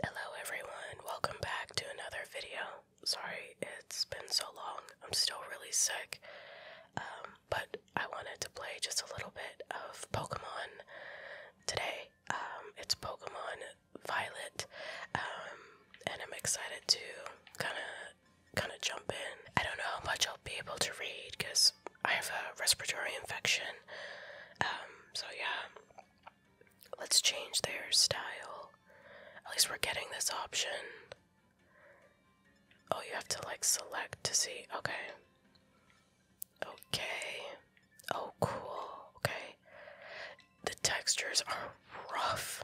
Hello everyone, welcome back to another video. Sorry, it's been so long. I'm still really sick. Um, but I wanted to play just a little bit of Pokemon today. Um, it's Pokemon Violet. Um, and I'm excited to kind of kind of jump in. I don't know how much I'll be able to read cuz I have a respiratory infection. so yeah. Let's change their style. At least we're getting this option. Oh, you have to like select to see. Okay. Okay. Oh, cool. Okay. The textures are rough.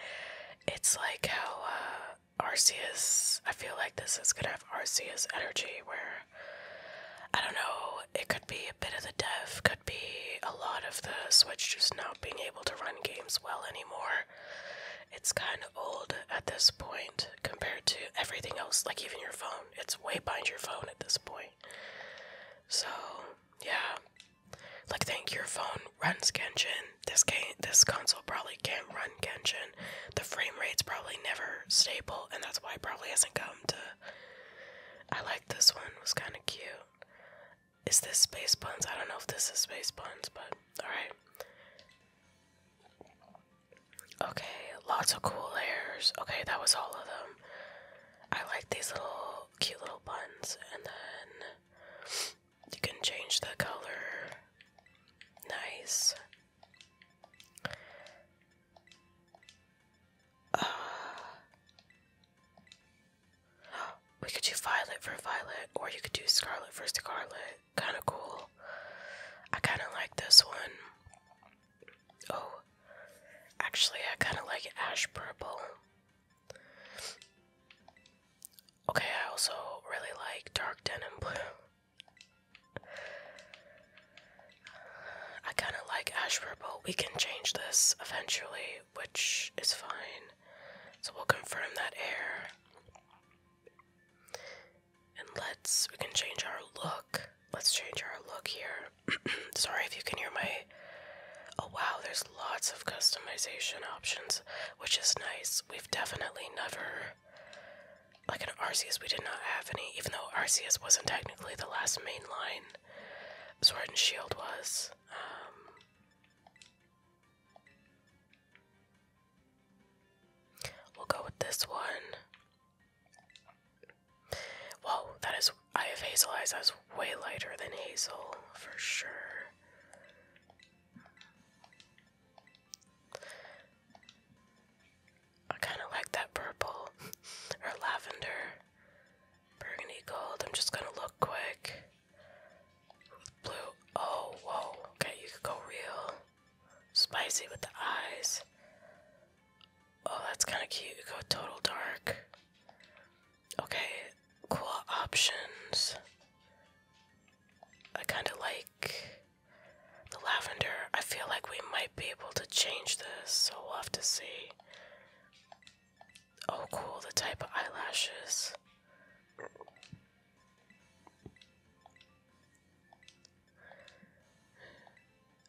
it's like how uh, Arceus. I feel like this is gonna have Arceus energy where. I don't know it could be a bit of the dev, could be a lot of the Switch just not being able to run games well anymore. It's kind of old at this point compared to everything else, like even your phone. It's way behind your phone at this point. So, yeah. Like, think your phone runs Genshin. This game, this console probably can't run Genshin. The frame rate's probably never stable, and that's why it probably hasn't come to I like this one. was kind of cute. Is this space buns? I don't know if this is space buns, but all right. Okay, lots of cool layers. Okay, that was all of them. I like these little cute little buns, and then you can change the color. Nice. Uh, we could do violet for violet, or you could do scarlet for scarlet. Kind of cool. I kind of like this one. Oh, actually, I kind of like ash purple. Okay, I also really like dark denim blue. I kind of like ash purple. We can change this eventually, which is fine. So we'll confirm that air. And let's, we can change our look. Let's change our look here. Sorry if you can hear my. Oh wow, there's lots of customization options, which is nice. We've definitely never. Like in Arceus, we did not have any, even though Arceus wasn't technically the last main line. Sword and Shield was. Um, we'll go with this one. Whoa, that is. Eye of Hazel Eyes. That's way lighter than Hazel, for sure. I kind of like that purple or lavender. Burgundy gold. I'm just gonna look quick. With blue. Oh, whoa. Okay, you could go real spicy with the eyes. Oh, that's kind of cute. You go total dark. Okay, cool options. I kind of like the lavender. I feel like we might be able to change this, so we'll have to see. Oh, cool, the type of eyelashes.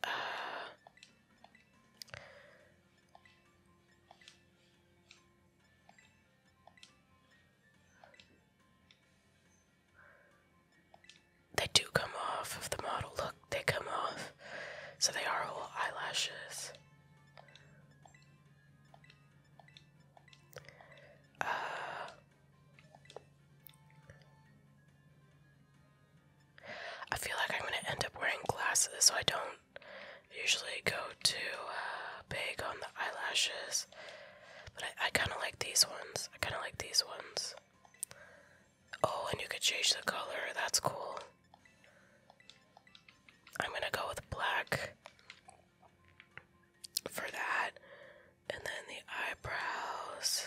Uh, they do come off of the model. Look, they come off. So they are all eyelashes. Uh, I feel like I'm going to end up wearing glasses, so I don't usually go too uh, big on the eyelashes. But I kind of like these ones. I kind of like these ones. Oh, and you could change the color. That's cool. I'm gonna go with black for that. And then the eyebrows.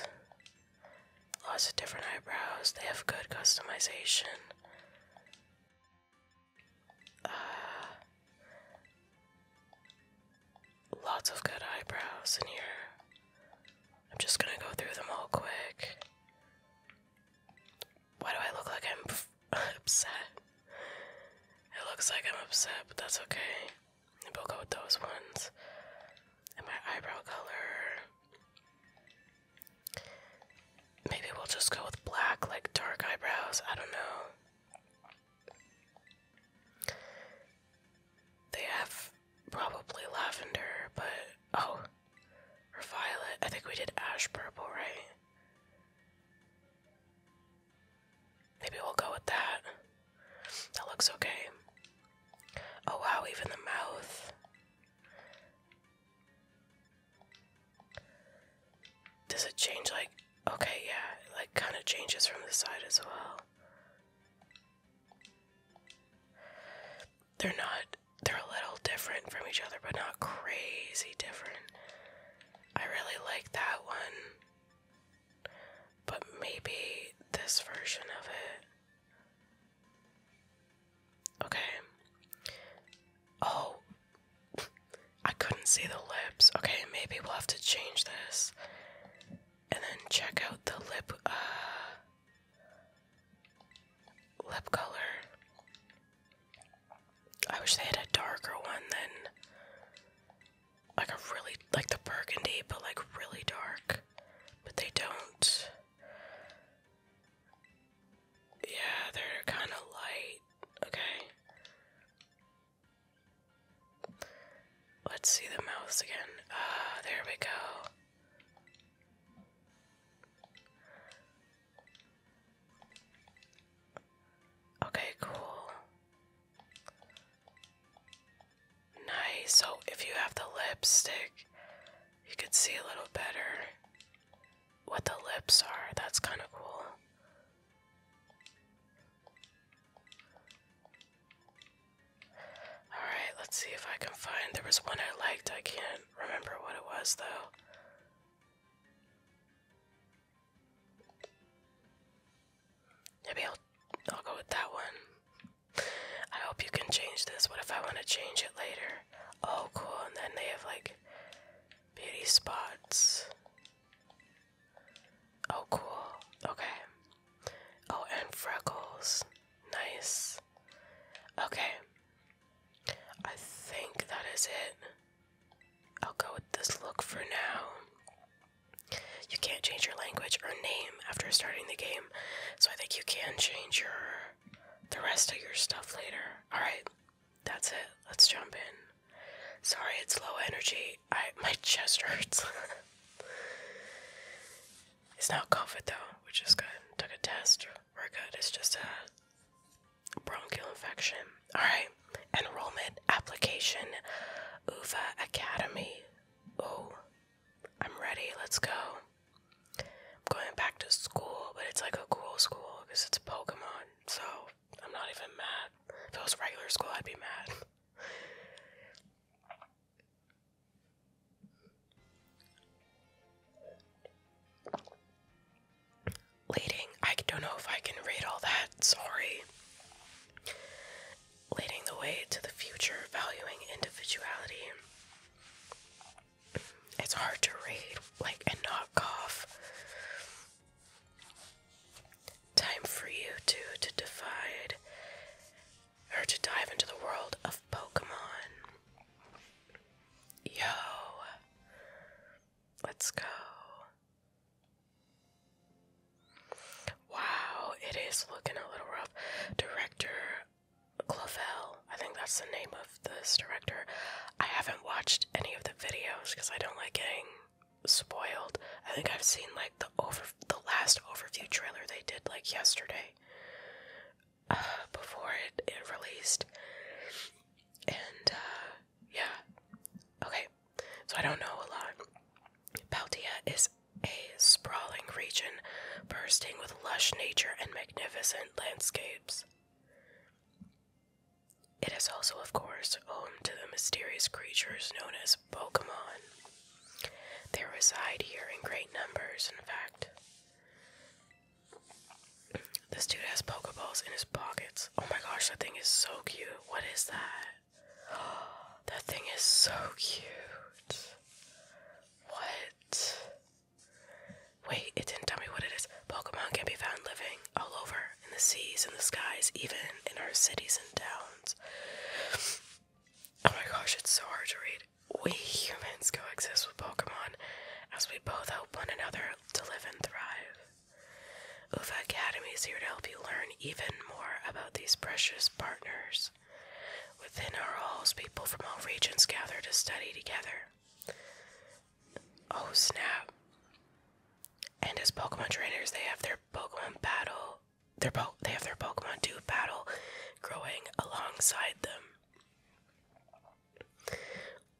Lots of different eyebrows. They have good customization. Uh, lots of good eyebrows in here. I'm just gonna go through them all quick. Why do I look like I'm upset? It looks like I'm upset, but that's okay. We'll go with those ones. And my eyebrow color. Maybe we'll just go with black, like dark eyebrows. I don't know. They have probably lavender, but oh, or violet. I think we did ash purple, right? Maybe we'll go with that. That looks okay. Oh wow, even the mouth. Does it change like okay, yeah, like kind of changes from the side as well. They're not they're a little different from each other, but not crazy different. I really like that one, but maybe this version of it. Okay. Oh, I couldn't see the lips. Okay, maybe we'll have to change this and then check out the lip uh lip color I wish they had a darker one than like a really like the burgundy, but like really dark. But they don't. Yeah, they're kind of light. Okay. Let's see the mouths again. Ah, there we go. Okay, cool. Nice. So if you have the lipstick, you can see a little better what the lips are. That's kind of cool. Alright, let's see if I can find. There was one I liked. I can't remember what it was though. Maybe I'll I'll go with that one. I hope you can change this. What if I want to change it later? Oh, cool. And then they have like beauty spots. Oh, cool. Okay. Oh, and freckles. Nice. Okay. I think that is it. I'll go with this look for now. You can't change your language or name after starting the game, so I think you can change your the rest of your stuff later. All right. That's it. Let's jump in. Sorry, it's low energy. I my chest hurts. it's not COVID though, We just got Took a test we're good. It's just a bronchial infection. All right. Enrollment application, UVA Academy. Oh, I'm ready. Let's go. I'm going back to school, but it's like a cool school because it's Pokemon. So I'm not even mad. If it was regular school, I'd be mad leading I don't know if I can read all that, sorry. Leading the way to the future, valuing individuality. It's hard to read, like, a not cough. Time for you two to divide or to dive into the world of Pokemon. Yo, let's go. Wow, it is looking a little rough. Director Clovel, I think that's the name of this director. I haven't watched any of the videos because I don't like getting spoiled. I think I've seen like the over the last overview trailer they did like yesterday uh, before it, it released. And uh, yeah. Okay. So I don't know a lot. Baldia is a sprawling region bursting with lush nature and magnificent landscapes. It is also, of course, home to the mysterious creatures known as Pokemon. They reside here in great numbers, in fact. This dude has Pokeballs in his pockets. Oh my gosh, that thing is so cute. What is that? that thing is so cute. What? Wait, it didn't tell me what it is. Pokemon can be found living all over in the seas, in the skies, even in our cities and towns. Oh my gosh, it's so hard to read. We humans coexist with Pokemon as we both help one another to live and thrive. UVA Academy is here to help you learn even more about these precious partners. Within our halls, people from all regions gather to study together. Oh snap! And as Pokemon trainers, they have their Pokemon battle. Their po they have their Pokemon do battle growing alongside them.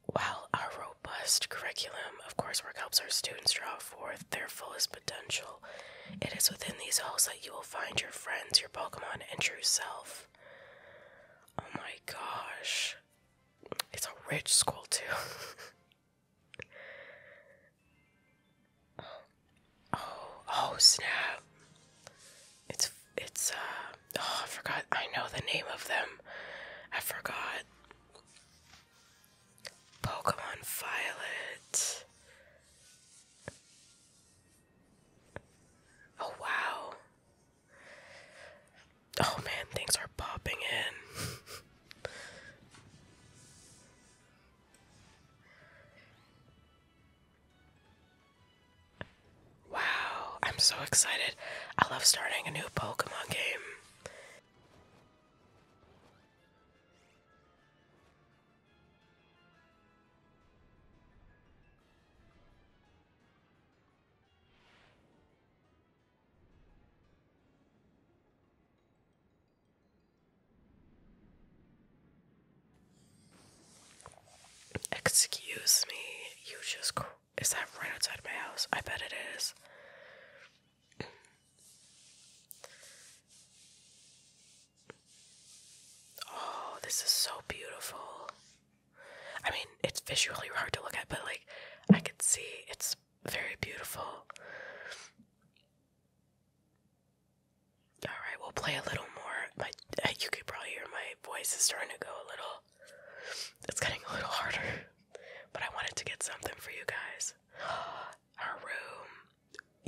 While our robust curriculum, of coursework, helps our students draw forth their fullest potential, it is within these halls that you will find your friends, your Pokemon, and true self. Oh my gosh. It's a rich school, too. oh, oh, snap. It's, it's, uh, oh, I forgot. I know the name of them. I forgot. Pokemon Violet. Oh, wow. Oh, man, things are popping in. Wow, I'm so excited. I love starting a new Pokemon game. Excuse me, you just is that right outside of my house? I bet it is. Oh, this is so beautiful. I mean, it's visually hard to look at, but like I can see it's very beautiful. All right, we'll play a little more. My you could probably hear my voice is starting to go a little it's getting a little harder, but I wanted to get something for you guys. Our room,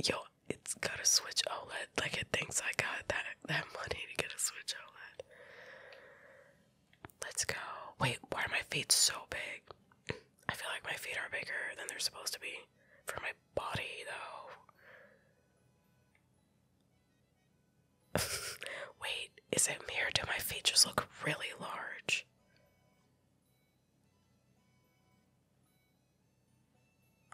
yo, it's got a Switch OLED. Like it thinks I got that that money to get a Switch OLED. Let's go. Wait, why are my feet so big? I feel like my feet are bigger than they're supposed to be for my body, though. Wait, is it me or do my features look really large?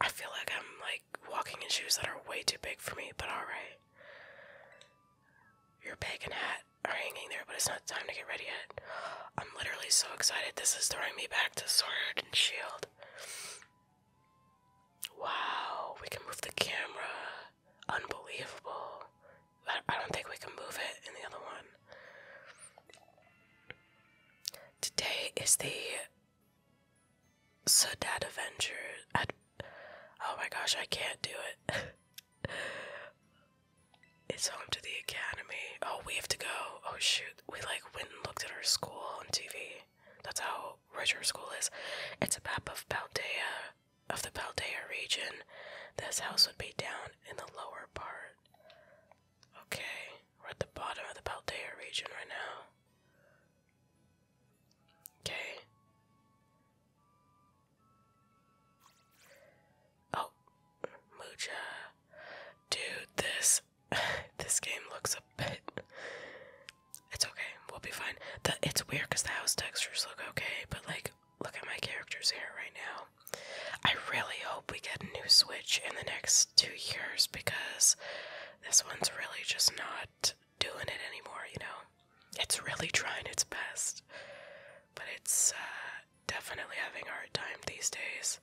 I feel like I'm like walking in shoes that are way too big for me, but alright. Your bag and hat are hanging there, but it's not time to get ready yet. I'm literally so excited. This is throwing me back to Sword and Shield. Wow, we can move the camera unbelievable. I, I don't think we can move it in the other one. Today is the Sadad Avenger. Ad oh my gosh, I can't do it. it's home to the academy. Oh, we have to go. Oh shoot, we like went and looked at our school on TV. That's how rich our school is. It's a map of Paldea, of the Paldea region, this house would be down in the lower part. Okay, we're at the bottom of the Paldea region right now. Okay. Oh, Mucha. Dude, this this game looks a bit. It's okay, we'll be fine. The, it's weird because the house textures look okay, but like look at my character's hair right now. I really hope we get a new Switch in the next two years because this one's really just not doing it anymore, you know? It's really trying its best, but it's uh, definitely having a hard time these days.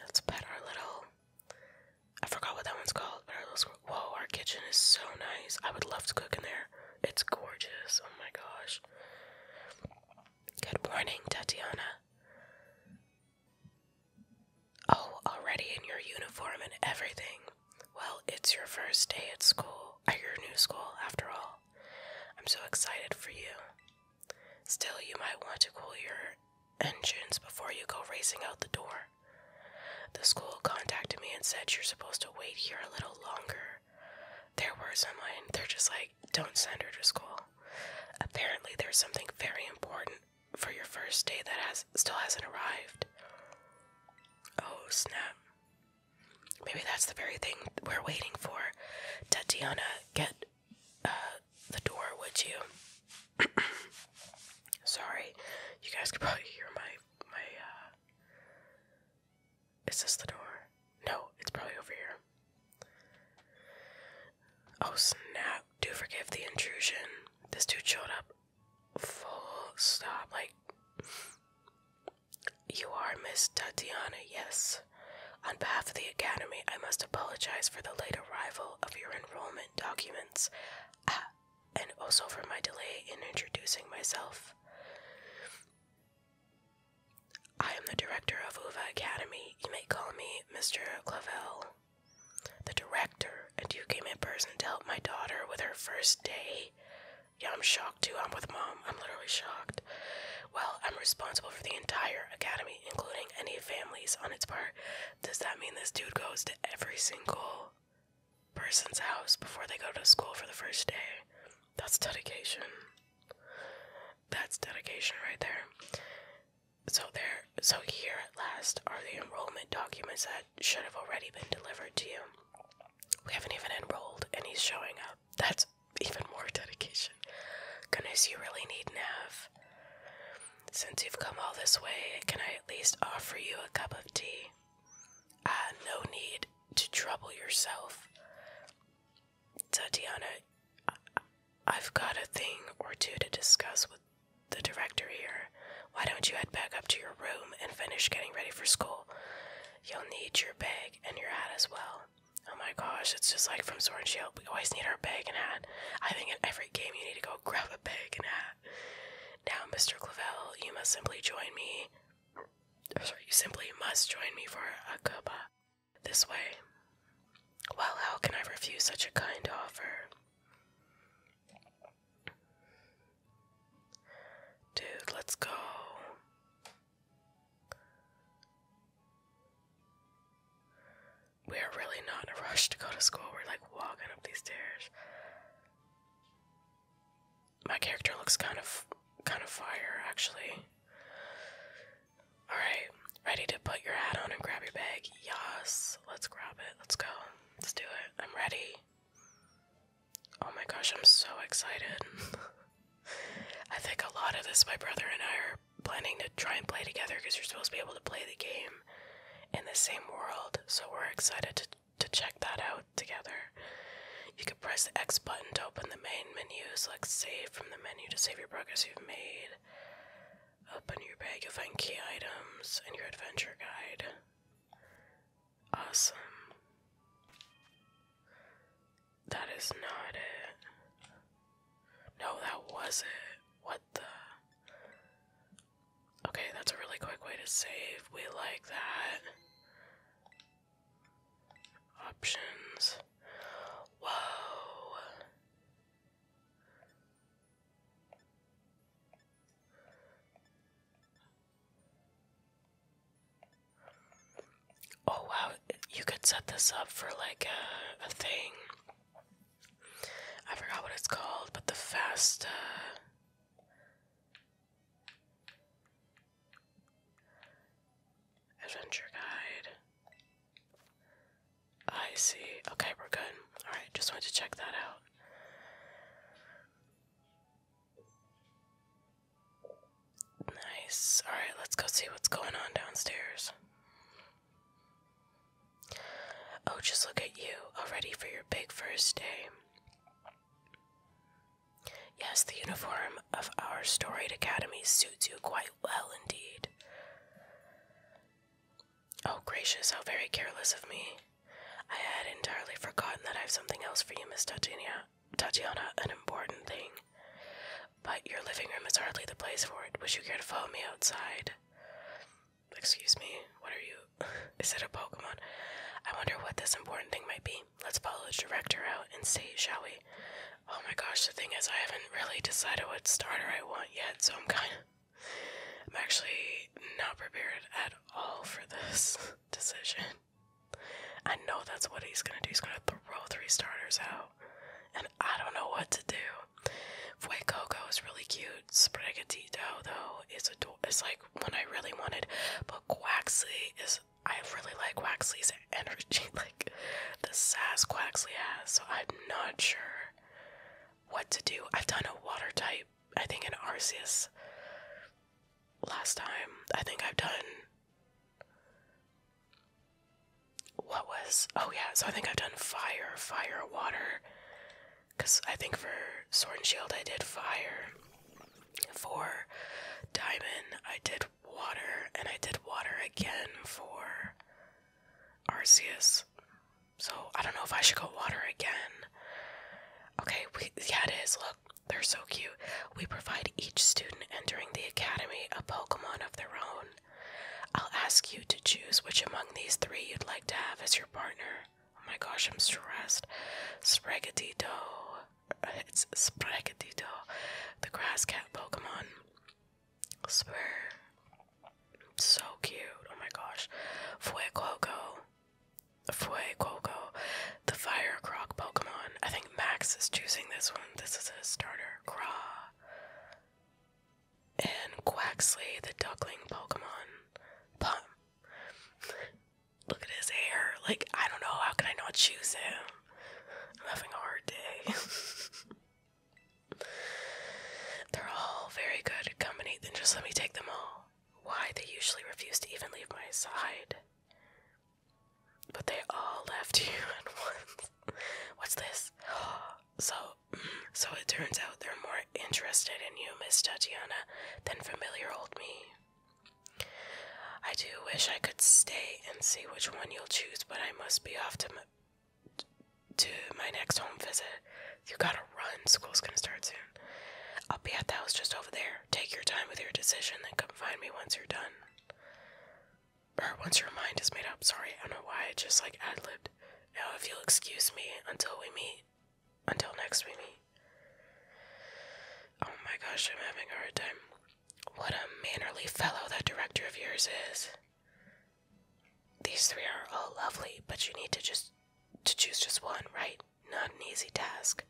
Let's pet our little. I forgot what that one's called, our little Whoa, our kitchen is so nice. I would love to cook in there. It's gorgeous. Oh my gosh. Good morning, Tatiana. Oh, already in your uniform and everything. Well, it's your first day at school, at your new school, after all. I'm so excited for you. Still, you might want to cool your engines before you go racing out the door. The school contacted me and said, You're supposed to wait here a little longer. There were some, and they're just like, Don't send her to school. Apparently, there's something very important for your first day that has still hasn't arrived. Oh, snap. Maybe that's the very thing we're waiting for. Tatiana, get uh, the door, would you? Sorry, you guys could probably hear my my uh, is this the door? No, it's probably over here. Oh snap. Do forgive the intrusion. This dude showed up full stop. Like, you are Miss Tatiana, yes. On behalf of the Academy, I must apologize for the late arrival of your enrollment documents. Ah, and also for my delay in introducing myself. I am the director of UVA Academy. You may call me Mr. Clavel. The director, and you came in person to help my daughter with her first day. Yeah, I'm shocked too. I'm with mom. I'm literally shocked. Well, I'm responsible for the entire academy, including any families on its part. Does that mean this dude goes to every single person's house before they go to school for the first day. That's dedication. That's dedication right there. So there so here at last are the enrollment documents that should have already been delivered to you. We haven't even enrolled and he's showing up. That's even more dedication. Goodness, you really need nav. Since you've come all this way, can I at least offer you a cup of tea? Uh, no need to trouble yourself. Tatiana, I've got a thing or two to discuss with the director here. Why don't you head back up to your room and finish getting ready for school? You'll need your bag and your hat as well. Oh my gosh, it's just like from Sword and Shield. We always need our bag and hat. I think in every game you need to go grab a bag and hat. Now, Mr. Clavel, you must simply join me sorry, you simply must join me for a cuppa. Uh, this way. Well, how can I refuse such a kind offer? Dude, let's go. We are really not in a rush to go to school. We're like walking up these stairs my character looks kind of kind of fire actually. Alright, ready to put your hat on and grab your bag? Yes, let's grab it. Let's go. Let's do it. I'm ready. Oh my gosh, I'm so excited. I think a lot of this my brother and I are planning to try and play together because you're supposed to be able to play the game in the same world. So we're excited to to check that out together. You can press the X button to open the main menu, select save from the menu to save your progress you've made. Open your bag, you'll find key items and your adventure guide. Awesome. That is not it. No, that was it. What the? Okay, that's a really quick way to save. We like that. Options. Whoa. Oh wow, you could set this up for like a, thing. I forgot what it's called, but the fast. Uh, Adventure guide. I see. Okay, we're good. Alright, just wanted to check that out. Nice. Alright, let's go see what's going on downstairs. Oh, just look at you, all ready for your big first day. Yes, the uniform of our storied academy suits you quite well indeed. Oh, gracious, how very careless of me. I had entirely forgotten that I have something else for you, Miss Tatiana. Tatiana, an important thing. But your living room is hardly the place for it. Would you care to follow me outside? Excuse me, what are you? is it a Pokemon? I wonder what this important thing might be. Let's pull the director out and see, shall we? Oh my gosh, the thing is, I haven't really decided what starter I want yet, so I'm kind of. I'm actually not prepared at all for this decision. I know that's what he's gonna do. He's gonna throw three starters out, and I don't know what to do. Fuecoco is really cute. Sprigatito, though, is adorable. It's like one I really wanted, but Quaxley is I really like Waxley's energy, like the sass Waxley has, so I'm not sure what to do. I've done a water type, I think, in Arceus last time. I think I've done. What was. Oh, yeah, so I think I've done fire, fire, water. Because I think for Sword and Shield I did fire for Diamond. I did water, and I did water again for Arceus. So I don't know if I should go water again. Okay, yeah, it is. Look, they're so cute. We provide each student entering the academy a Pokemon of their own. I'll ask you to choose which among these three you'd like to have as your partner. Oh my gosh, I'm stressed. Sprigatito, it's Sprigatito, the grass cat Pokemon. I So cute. Oh my gosh. Fuecoco. Fuecoco. The fire croc Pokemon. I think Max is choosing this one. This is a starter. Craw. And Quaxley, the duckling Pokemon. Pum. Look at his hair. Like, I don't know. How can I not choose him? I'm having a hard day. They're all very good company. Then just let me take them all. Why they usually refuse to even leave my side. But they all left you at once. What's this? So, so it turns out they're more interested in you, Miss Tatiana, than familiar old me. I do wish I could stay and see which one you'll choose, but I must be off to my, next home visit. You gotta run. School's gonna start soon. I'll be at the house just over there. Take your time with your decision, then come find me once you're done. Or once your mind is made up. Sorry, I don't know why. I just like ad libbed. Now, if you'll excuse me until we meet, until next we meet. Oh my gosh, I'm having a hard time. What a mannerly fellow that director of yours is. These three are all lovely, but you need to just to choose just one, right? Not an easy task.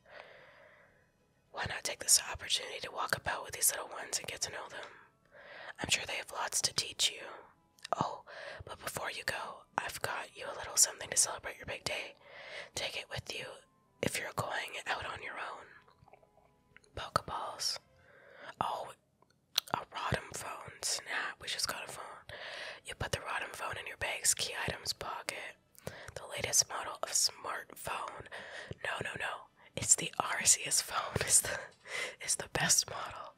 Why not take this opportunity to walk about with these little ones and get to know them? I'm sure they have lots to teach you. Oh, but before you go, I've got you a little something to celebrate your big day. Take it with you if you're going out on your own. Pokeballs. Oh, a Rotom phone. Snap. We just got a phone. You put the Rotom phone in your bag's key items pocket. The latest model of smartphone. No, no, no. It's the Arceus phone. Is the is the best model.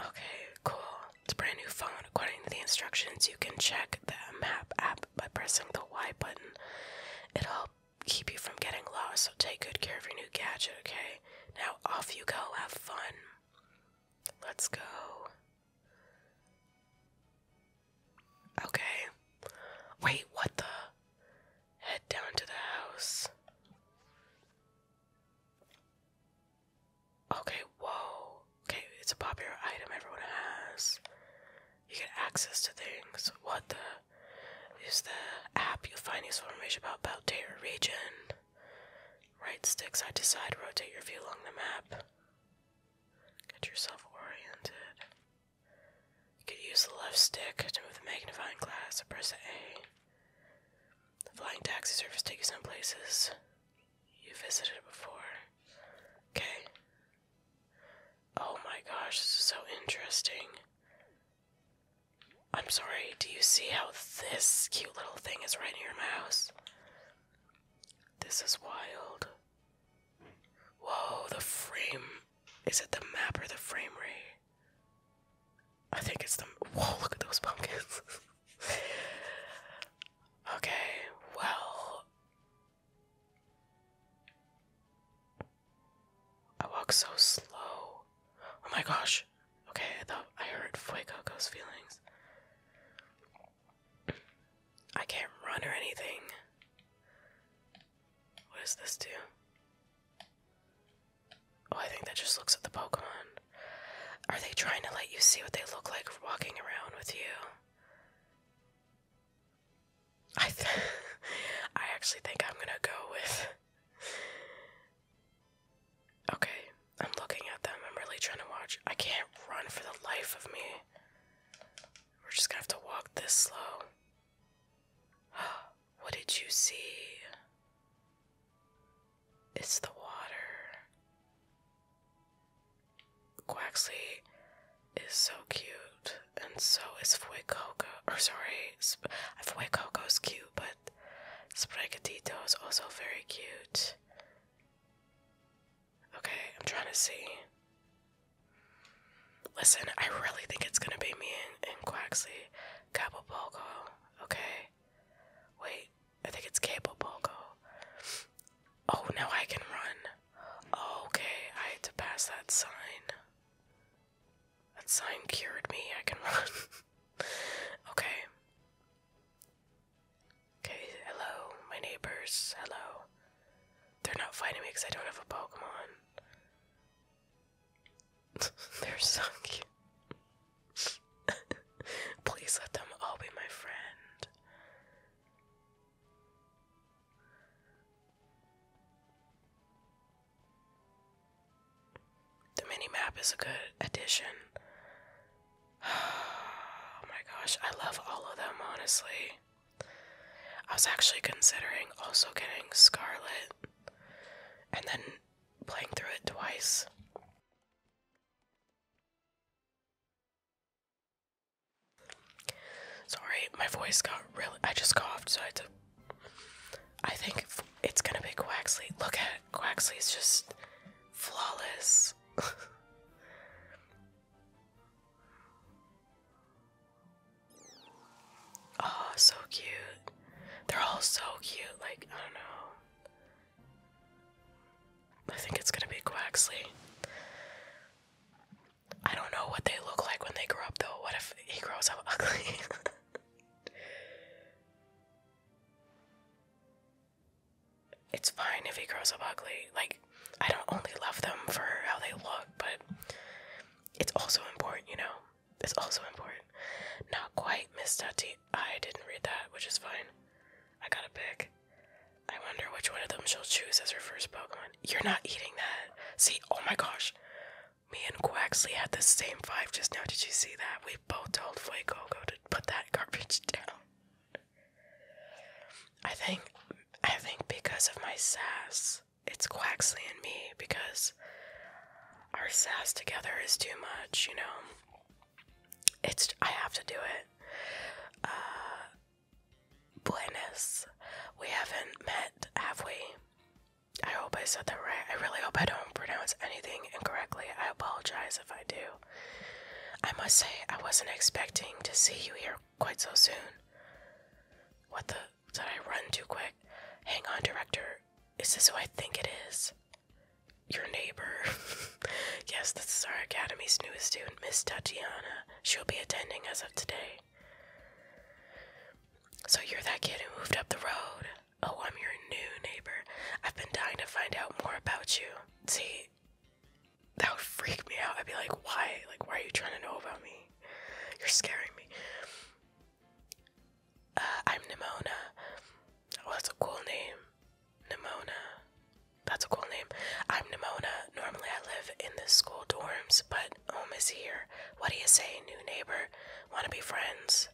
Okay, cool. It's a brand new phone. According to the instructions, you can check the map app by pressing the Y button. It'll keep you from getting lost, so take good care of your new gadget, okay? Now off you go, have fun. Let's go. Okay. Wait, what the? Head down to the house. Okay, whoa. Okay, it's a popular item everyone has you get access to things. What the use the app you'll find useful information about Baltair region. Right stick side to side, rotate your view along the map. Get yourself oriented. You could use the left stick to move the magnifying glass or press A. The flying taxi service takes you some places you visited before. Okay, Oh my gosh, this is so interesting. I'm sorry, do you see how this cute little thing is right in your house? This is wild. Whoa, the frame. Is it the map or the frame rate? I think it's the. Whoa, look at those pumpkins. okay, well, I walk so slow. Oh my gosh. Okay, I thought I heard Fuecoco's feelings. I can't run or anything. What does this do? Oh, I think that just looks at the Pokemon. Are they trying to let you see what they look like walking around with you? I I actually think I'm gonna go with Okay, I'm looking at them. I'm really trying to watch. I can't run for the life of me. We're just gonna have to walk this slow. What did you see? It's the water. Quaxley is so cute, and so is Fuecoco. Or sorry, Sp is cute, but Spregatito is also very cute. Okay, I'm trying to see. Listen, I really think it's gonna be me and, and Quaxley. Capopolco, okay. Wait, I think it's Capopolco. Oh, now I can run. Okay, I had to pass that sign. That sign cured me. I can run. okay. Okay, hello, my neighbors. Hello. They're not fighting me because I don't have a Pokemon. They're so cute. Please let them all be my friend. The mini map is a good addition. Oh my gosh, I love all of them, honestly. I was actually considering also getting Scarlet and then playing through it twice. Sorry, my voice got really. I just coughed, so I had to. I think it's gonna be Quaxley. Look at it. Quaxley's just flawless. oh, so cute. They're all so cute. Like, I don't know. I think it's gonna be Quaxley. I don't know what they look like when they grow up though. What if he grows up ugly? it's fine if he grows up ugly. Like, I don't only love them for how they look, but it's also important, you know? It's also important. Not quite, Miss Tati. I didn't read that, which is fine. I got a pick. I wonder which one of them she'll choose as her first Pokemon. You're not eating that. See, oh my gosh. Me and Quaxley had the same vibe just now. Did you see that? We both told Fuego to put that garbage down. I think I think because of my sass, it's Quaxley and me because our sass together is too much, you know. It's I have to do it. Uh, Buenos. We haven't met, have we? I hope I said that right. I really hope I don't pronounce anything incorrectly. I apologize if I do. I must say, I wasn't expecting to see you here quite so soon. What the? Did I run too quick? Hang on, director. Is this who I think it is? Your neighbor. yes, this is our academy's newest student, Miss Tatiana. She'll be attending as of today. So you're that kid who moved up the road. Oh, I'm your new neighbor. I've been dying to find out more about you. See, that would freak me out. I'd be like, why? Like, why are you trying to know about me? You're scaring me. Uh, I'm Nimona. Oh, that's a cool name. Nimona. That's a cool name. I'm Nimona. Normally I live in the school dorms, but Home is here. What do you say, new neighbor? Wanna be friends?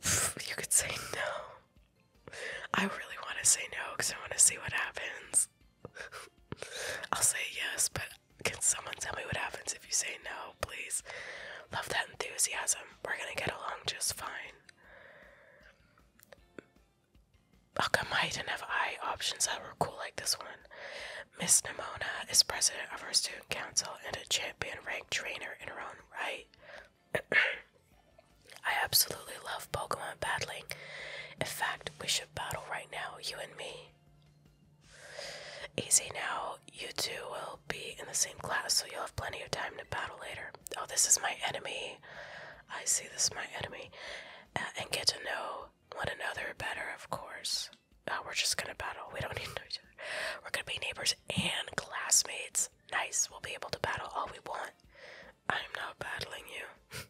you could say no. I really want to say no because I want to see what happens. I'll say yes, but can someone tell me what happens if you say no, please? Love that enthusiasm. We're gonna get along just fine how I didn't have eye options that were cool like this one? Miss Nimona is president of her student council and a champion ranked trainer in her own right. I absolutely love Pokemon battling. In fact, we should battle right now, you and me. Easy now, you two will be in the same class, so you'll have plenty of time to battle later. Oh, this is my enemy. I see this is my enemy. Uh, and get to know one another better, of course. Uh, we're just gonna battle. We don't need to each other. We're gonna be neighbors and classmates. Nice. We'll be able to battle all we want. I'm not battling you.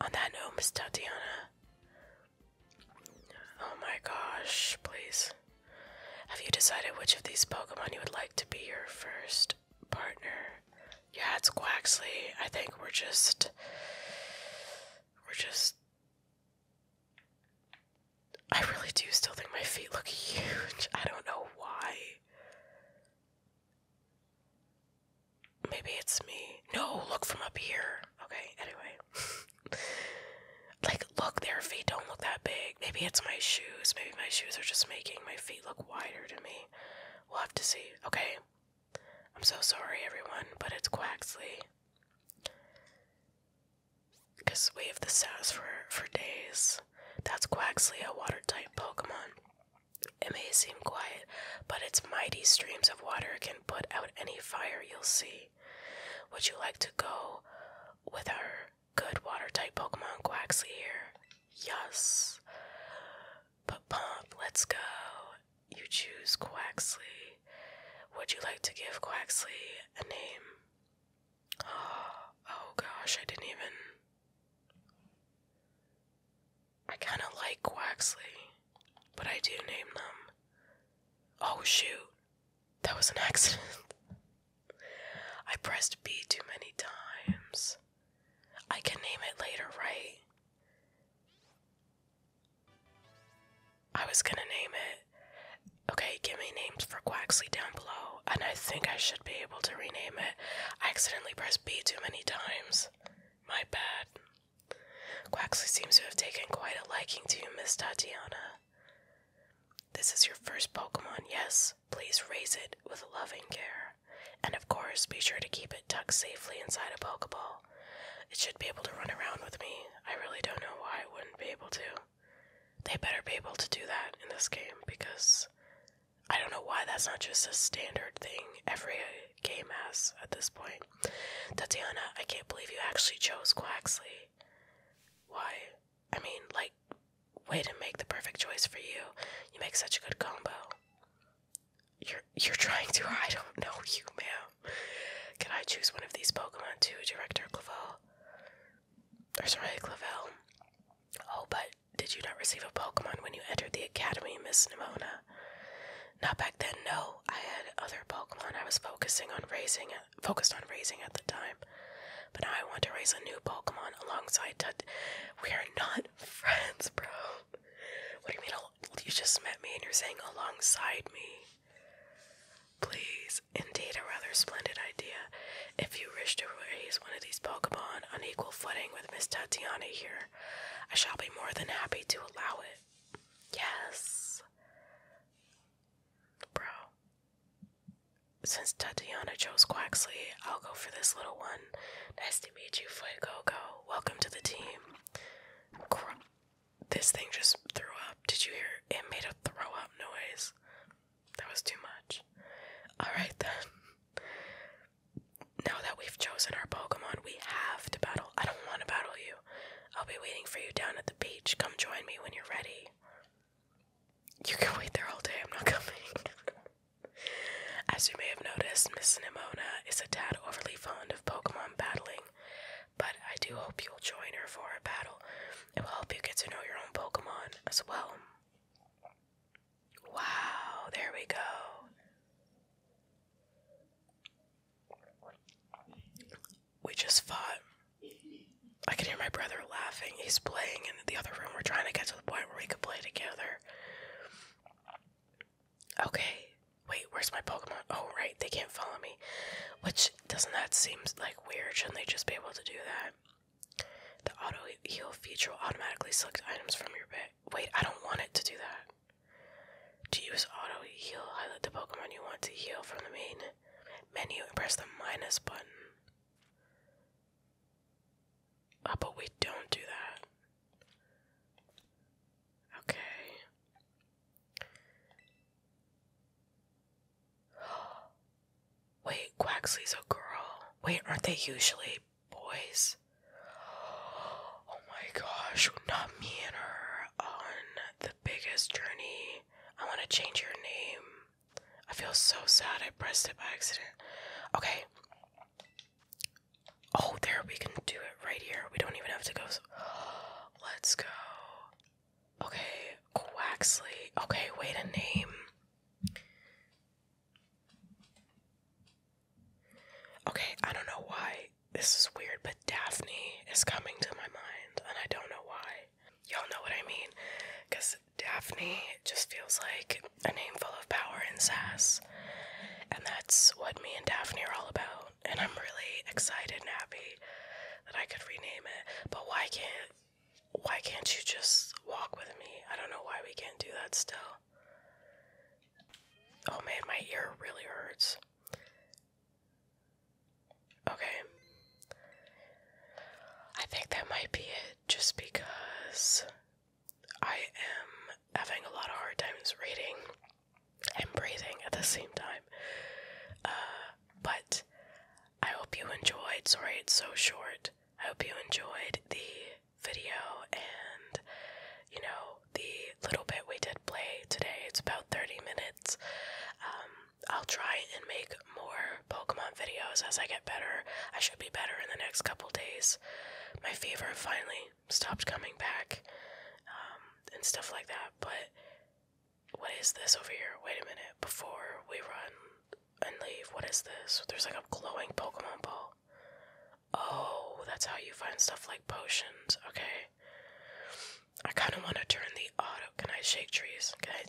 On that note, Miss Tatiana. Oh my gosh, please. Have you decided which of these Pokemon you would like to be your first partner? Yeah, it's Quaxley. I think we're just. We're just. I really do still think my feet look huge. I don't know why. Maybe it's me. No, look from up here. Okay, anyway. like, look, their feet don't look that big. Maybe it's my shoes. Maybe my shoes are just making my feet look wider to me. We'll have to see. Okay, I'm so sorry, everyone, but it's Quaxley. Because we have the sass for, for days. That's Quaxley, a water type Pokemon. It may seem quiet, but its mighty streams of water can put out any fire you'll see. Would you like to go with our good water type Pokemon Quaxley here? Yes. But Pomp, let's go you choose Quaxley. Would you like to give Quaxley a name? Oh, oh gosh, I didn't even. I kind of like Quaxley, but I do name them. Oh shoot, that was an accident. I pressed B too many times. I can name it later, right? I was gonna name it. Okay, give me names for Quaxly down below, and I think I should be able to rename it. I accidentally pressed B too many times. My bad. Quaxly seems to have taken quite a liking to you, Miss Tatiana. This is your first Pokemon, yes? Please raise it with loving care. And of course, be sure to keep it tucked safely inside a Pokeball. It should be able to run around with me. I really don't know why it wouldn't be able to. They better be able to do that in this game because I don't know why that's not just a standard thing every game has at this point. Tatiana, I can't believe you actually chose Quaxley. Why? I mean, like, way to make the perfect choice for you. You make such a good combo. You're you're trying to. I don't know you, ma'am. Can I choose one of these Pokemon too, Director Clavel? Or sorry, Clavel. Oh, but did you not receive a Pokemon when you entered the academy, Miss Nimona? Not back then, no. I had other Pokemon I was focusing on raising, focused on raising at the time. But now I want to raise a new Pokemon alongside Tut. We are not friends, bro. What do you mean? You just met me and you're saying alongside me? Please, indeed, a rather splendid idea. If you wish to raise one of these Pokemon on equal footing with Miss Tatiana here, I shall be more than happy to allow it. Yes. Bro. Since Tatiana chose Quaxley, I'll go for this little one. Nice to meet you, Fuegogo. Welcome to the team. This thing just threw up. Did you hear? It made a throw up noise. That was too much. Alright then. Now that we've chosen our Pokemon, we have to battle. I don't want to battle you. I'll be waiting for you down at the beach. Come join me when you're ready. You can wait there all day. I'm not coming. As you may have noticed, Miss Nimona is a tad overly fond of Pokemon battling but I do hope you'll join her for a battle. It will help you get to know your own Pokemon as well. Wow, there we go. We just fought. I can hear my brother laughing. He's playing in the other room. We're trying to get to the point where we could play together. Okay, Wait, where's my Pokemon? Oh, right, they can't follow me. Which, doesn't that seem like weird? Shouldn't they just be able to do that? The auto heal feature will automatically select items from your bag. Wait, I don't want it to do that. To use auto heal, highlight the Pokemon you want to heal from the main menu and press the minus button. Oh, but we don't do that. Okay. Wait, Quaxley's a girl. Wait, aren't they usually boys? Oh my gosh, not me and her on the biggest journey. I want to change your name. I feel so sad I pressed it by accident. Okay. Oh, there, we can do it right here. We don't even have to go. Let's go. Okay, Quaxley. Okay, wait a name. Okay, I don't know why this is weird, but Daphne is coming to my mind, and I don't know why. Y'all know what I mean, because Daphne just feels like a name full of power and sass, and that's what me and Daphne are all about and I'm really excited and happy that I could rename it. But why can't why can't you just walk with me? I don't know why we can't do that still. Oh man, my ear really hurts. Okay. I think that might be it just because I am having a lot of hard times reading and breathing at the same time. Uh, but I hope you enjoyed. Sorry it's so short. I hope you enjoyed the video and, you know, the little bit we did play today. It's about 30 minutes. Um, I'll try and make more Pokemon videos as I get better. I should be better in the next couple days. My fever finally stopped coming back um, and stuff like that. But what is this over here? Wait a minute. Before we run and leave, what is this? There's like a glowing Pokemon ball. Oh, that's how you find stuff like potions. Okay. I kind of want to turn the auto. Can I shake trees? Can I?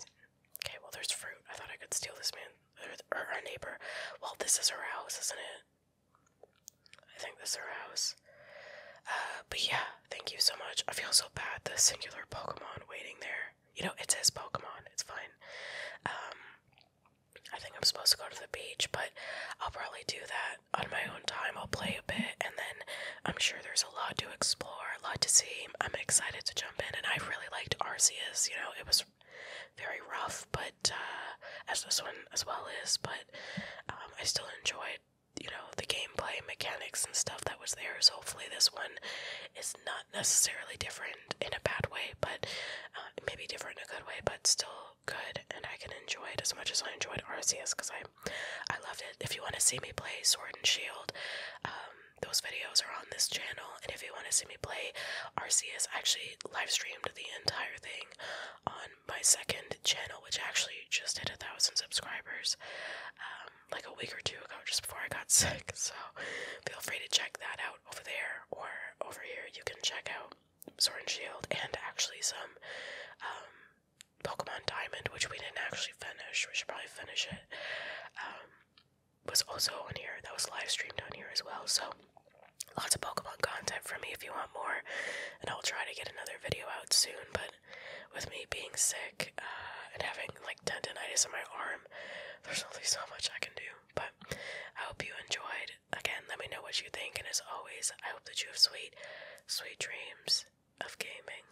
Okay, well, there's fruit. I thought I could steal this man. Or, or our neighbor. Well, this is her house, isn't it? I think this is her house. Uh, but yeah, thank you so much. I feel so bad, the singular Pokemon waiting there. You know, it says Pokemon, it's fine. Um, I think I'm supposed to go to the beach, but I'll probably do that on my own time. I'll play a bit, and then I'm sure there's a lot to explore, a lot to see. I'm excited to jump in, and I really liked Arceus. You know, it was very rough, but uh, as this one as well is, but um, I still enjoyed you know, the gameplay mechanics and stuff that was there. So hopefully this one is not necessarily different in a bad way, but uh, maybe different in a good way, but still good. And I can enjoy it as much as I enjoyed R.C.S. because I, I loved it. If you want to see me play Sword and Shield, um, those videos are on this channel. And if you want to see me play R.C.S., I actually live streamed the entire thing on my second channel which actually just hit a thousand subscribers um, like a week or two ago, just before I got sick. So feel free to check that out over there or over here. You can check out Sword and Shield and actually some um, Pokemon Diamond, which we didn't actually finish. We should probably finish it. Um, was also on here. That was live streamed on here as well. So lots of Pokemon content for me if you want more, and I'll try to get another video out soon. But with me being sick uh, and having like tendinitis in my arm, there's only so much I can do. But I hope you enjoyed. Again, let me know what you think, and as always, I hope that you have sweet, sweet dreams of gaming.